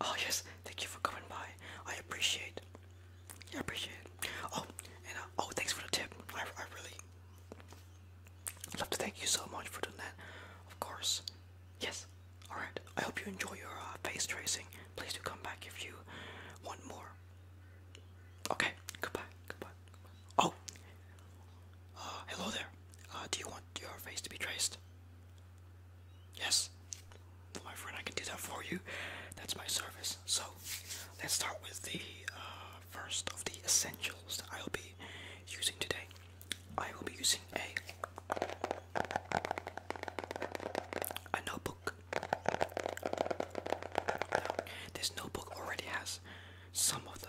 Oh yes, thank you for coming by. I appreciate. I appreciate it. Oh, and uh, oh, thanks for the tip. I, I really love to thank you so much for doing that. Of course. Yes. All right. I hope you enjoy your uh, face tracing. Please do come back if you want more. Okay. Goodbye. Goodbye. Oh. Uh, hello there. do you want your face to be traced? Yes, my friend, I can do that for you. That's my service. So, let's start with the uh, first of the essentials that I'll be using today. I will be using a notebook. this notebook already has some of the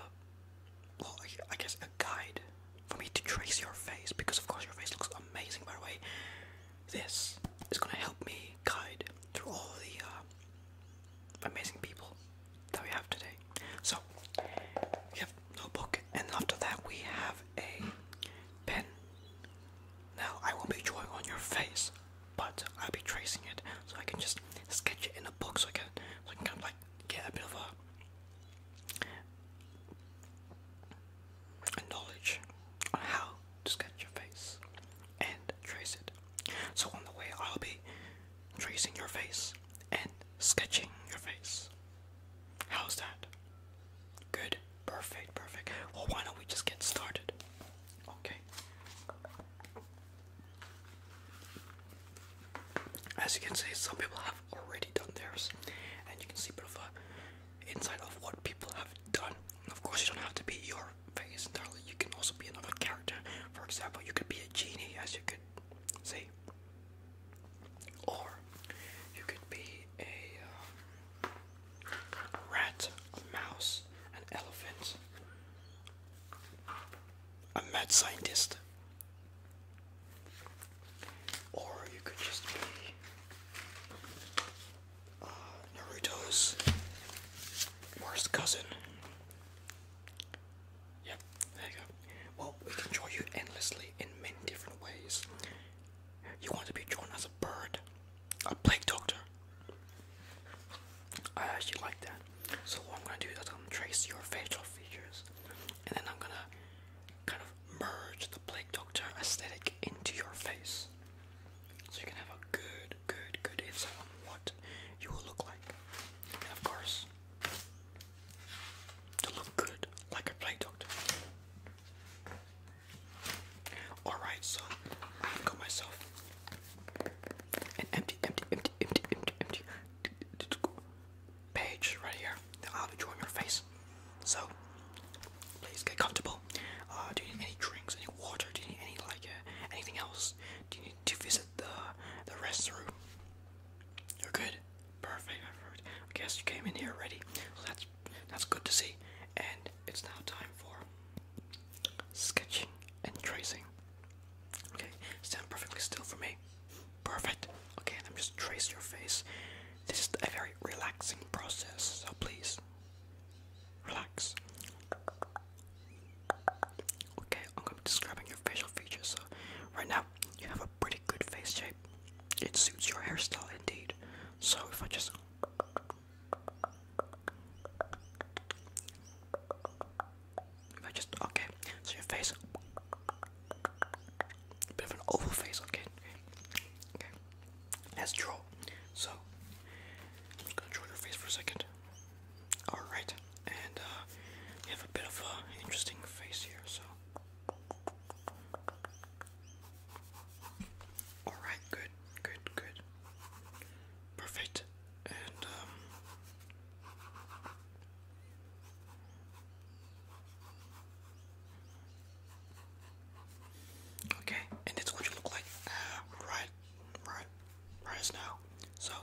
well, I guess a guide for me to trace your face because, of course, your face looks amazing. By the way, this is gonna help me guide through all the uh, amazing people that we have today. So we have book, and after that we have a pen. Now I won't be drawing on your face, but I'll be tracing it, so I can just sketch it in a book, so I can, so I can kind of like get a bit of a knowledge on how to sketch your face and trace it. So on the way, I'll be tracing your face and sketching your face. How's that? Good, perfect, perfect. Well, why don't we just get started? Okay. As you can see, some people have already done theirs, and you can see a bit of a insight of what people have done. Of course, you don't have to be your face entirely. You can also be another character. For example, you could be a genie, as you could see, or you could be a um, rat, a mouse, an elephant, a mad scientist. Or you could just be uh, Naruto's worst cousin. Yep, there you go. Well, we can draw you endlessly in many different ways. You want to be drawn as a bird, a plague doctor. I actually like that. So what I'm gonna do is I'm gonna trace your facial features, and then I'm gonna kind of merge the Plague Doctor aesthetic into your face, so you can have a good, good, good insight on what you will look like. And of course, to look good like a Plague Doctor. Alright, so I've got myself an empty, empty, empty, empty, empty, empty page right here I'll be drawing your face. So please get comfortable. Uh, do you need any drinks, any water? Do you need any like uh, anything else? Do you need to visit the the restroom? You're good. Perfect. Perfect. I guess you came in here already. that's that's good to see. And it's now time for sketching and tracing. Okay, stand perfectly still for me. Perfect. Okay, and I'm just trace your face. This is a very relaxing process, so please relax. Okay, I'm gonna be describing your facial features. So right now you have a pretty good face shape. It suits your hairstyle indeed. So if I just just okay. So your face, bit of an oval face. Okay, okay. Let's draw. So I'm gonna draw your face for a second. All right, and uh, have a bit of an interesting face here. So. Alright, good, good, good. Perfect and um, okay, and that's what you look like um, right, right, right now. So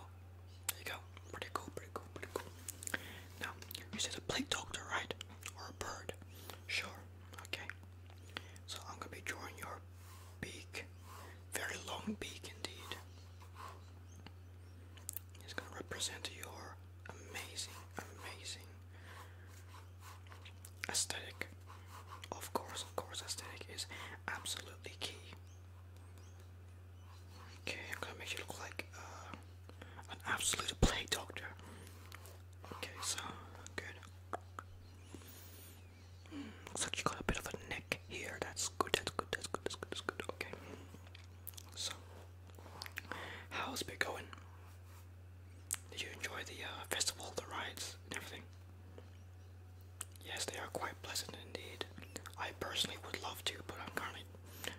there you go, pretty cool, pretty cool, pretty cool. Now you said a plague doctor, right, or a bird? Sure. Okay. So I'm gonna be drawing your beak very long beak indeed. It's going to represent your amazing, amazing aesthetic. Of course, of course, aesthetic is absolutely key. Okay, I'm gonna make you look like uh, an absolute plague doctor. Okay, so good. Looks like you got a bit of a neck here. That's good, that's good, that's good, that's good, that's good. Okay. So, how's it going? Did you enjoy the uh, festival, the rides, and everything? Yes, they are quite pleasant indeed. I personally would love to, but I'm currently,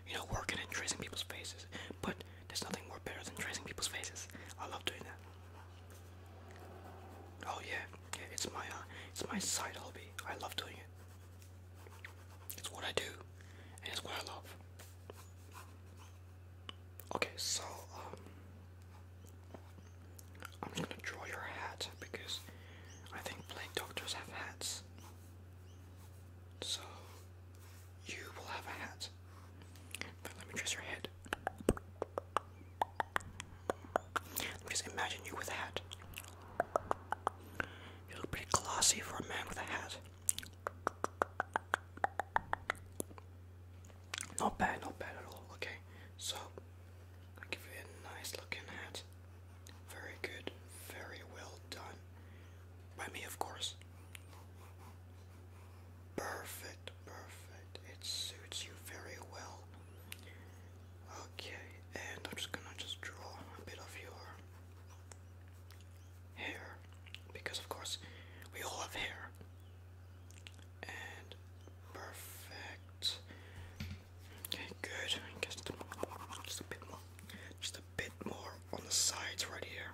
you know, working and tracing people's faces. But there's nothing more better than tracing people's faces. I love doing that. Oh yeah, it's my uh, it's my side hobby. I love doing it. It's what I do, and it's what I love. Okay, so um, I'm gonna draw your hat because I think plague doctors have hats. So you will have a hat. But let me trace your head. Just imagine you with a hat. You look pretty glossy for a man with a hat. Not bad, not bad at all. Okay, so give you a nice looking hat. Very good, very well done. By me, of course. Perfect, perfect. It suits you very well. Okay, and I'm just gonna just draw a bit of your hair because, of course, we all have hair. And perfect. Okay, good. Just, just a bit more, just a bit more on the sides right here.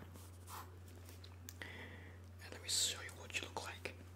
And let me show you what you look like.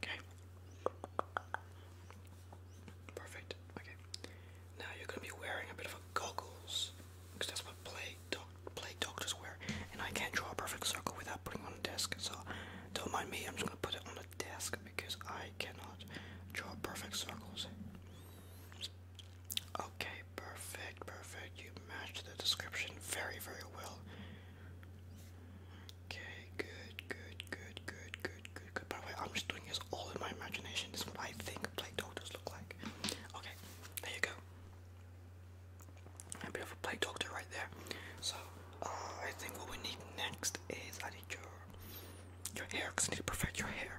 Okay. Perfect. Okay. Now you're gonna be wearing a bit of goggles, because that's what play doc play doctors wear. And I can't draw a perfect circle without putting on a desk, so don't mind me. I'm just gonna put it on the desk because I cannot draw perfect circles. Okay, perfect, perfect. You matched the description very, very well. Okay, good, good, good, good, good, good, good. By the way, I'm just doing this all in my imagination. This is what I think play doctors look like. Okay, there you go. A bit of a play doctor right there. So, uh, I think what we need next is I need your your hair because I need to perfect your hair.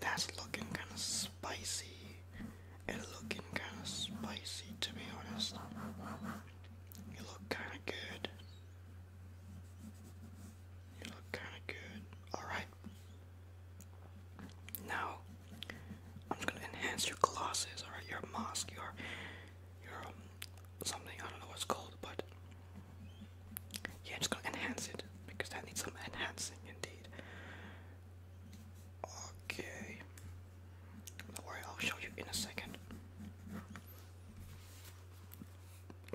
That's looking kind of spicy. It's looking kind of spicy, to be honest. You look kind of good. You look kind of good. Alright. Now, I'm just gonna enhance your glosses, alright? Your mask, your, your um, something, I don't know what called, but yeah, I'm just gonna enhance it because that needs some enhancing indeed. Okay. Don't worry, I'll show you in a second.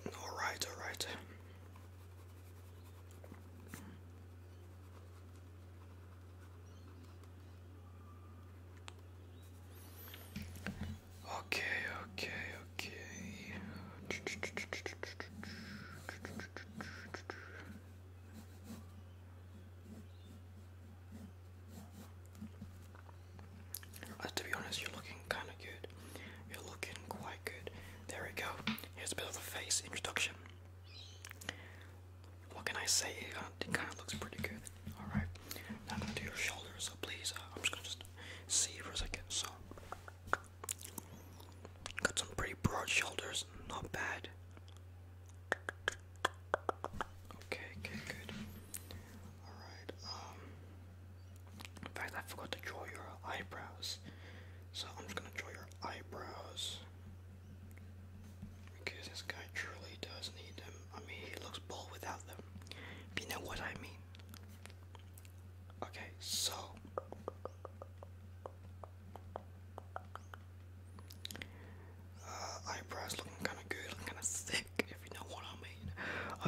Alright, alright. Okay, okay, okay. Uh, to be honest, you're looking kind of good. You're looking quite good. There we go. Here's a bit of the face introduction. What can I say? It uh, kind of looks pretty good. All right. Now I'm gonna do your shoulders. So please, uh, I'm just gonna just see for a second. So, got some pretty broad shoulders, not bad. Okay, okay, good. Alright, um. In fact, I forgot to draw your eyebrows. So I'm just gonna draw your eyebrows. Because this guy truly does need them. I mean, he looks bald without them. you know what I mean. Okay, so uh, eyebrows looking kind of good, looking kind of thick, if you know what I mean.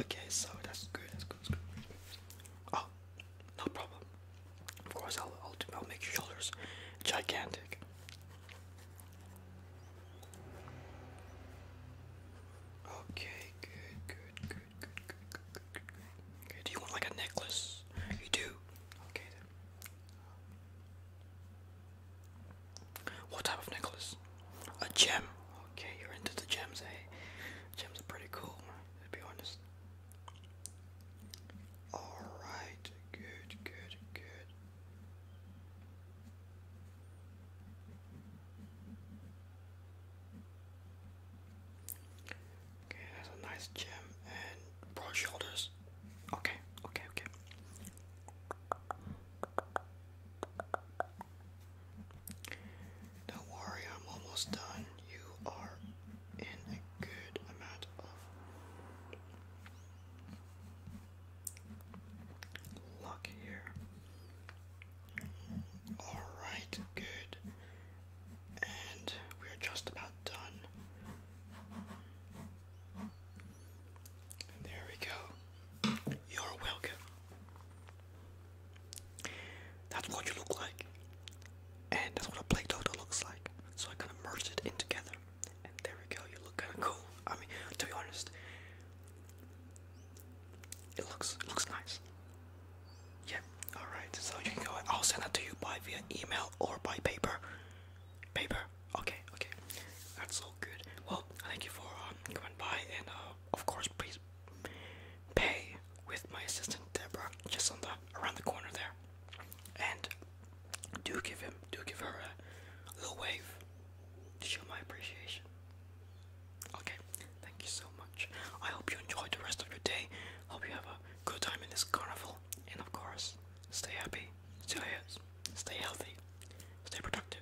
Okay, so that's good, that's good, that's good. Oh, no problem. Of course, I'll, I'll make your shoulders gigantic. Okay, good, good, good, good, good, good, good, good, good. do you want like a necklace? You do. Okay then. What type of necklace? A gem. Okay, you're into the gems, eh? Gems are pretty cool, to be honest. Alright, good, good, good. Okay, that's a nice gem and broad shoulders. Okay, okay, okay. Don't worry, I'm almost done. You are in a good amount of luck here. Alright, good. And we're just about done. There we go. You're welcome. That's what you look like. And that's what a plague doctor looks like. So I kind of merged it in together. And there we go. You look kind of cool. I mean, to be honest, it looks looks nice. Yeah. All right. So you can go. I'll send it to you by via email or by paper. Paper. Okay. Okay. That's so good. Well, thank you for um, coming by, and uh, of course, please pay with my assistant Deborah, just on the around the corner there. And do give him, do give her a little wave show my appreciation. Okay, thank you so much. I hope you enjoyed the rest of your day. Hope you have a good time in this carnival. And of course, stay happy, stay, stay healthy, stay productive.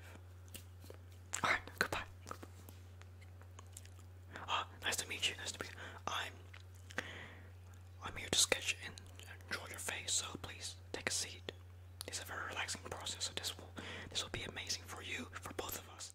Alright, goodbye. Ah, nice to meet you, nice to meet you. I'm I'm here to sketch and enjoy your face, so please take a seat. It's a very relaxing process, so this will this will be amazing for you, for both of us.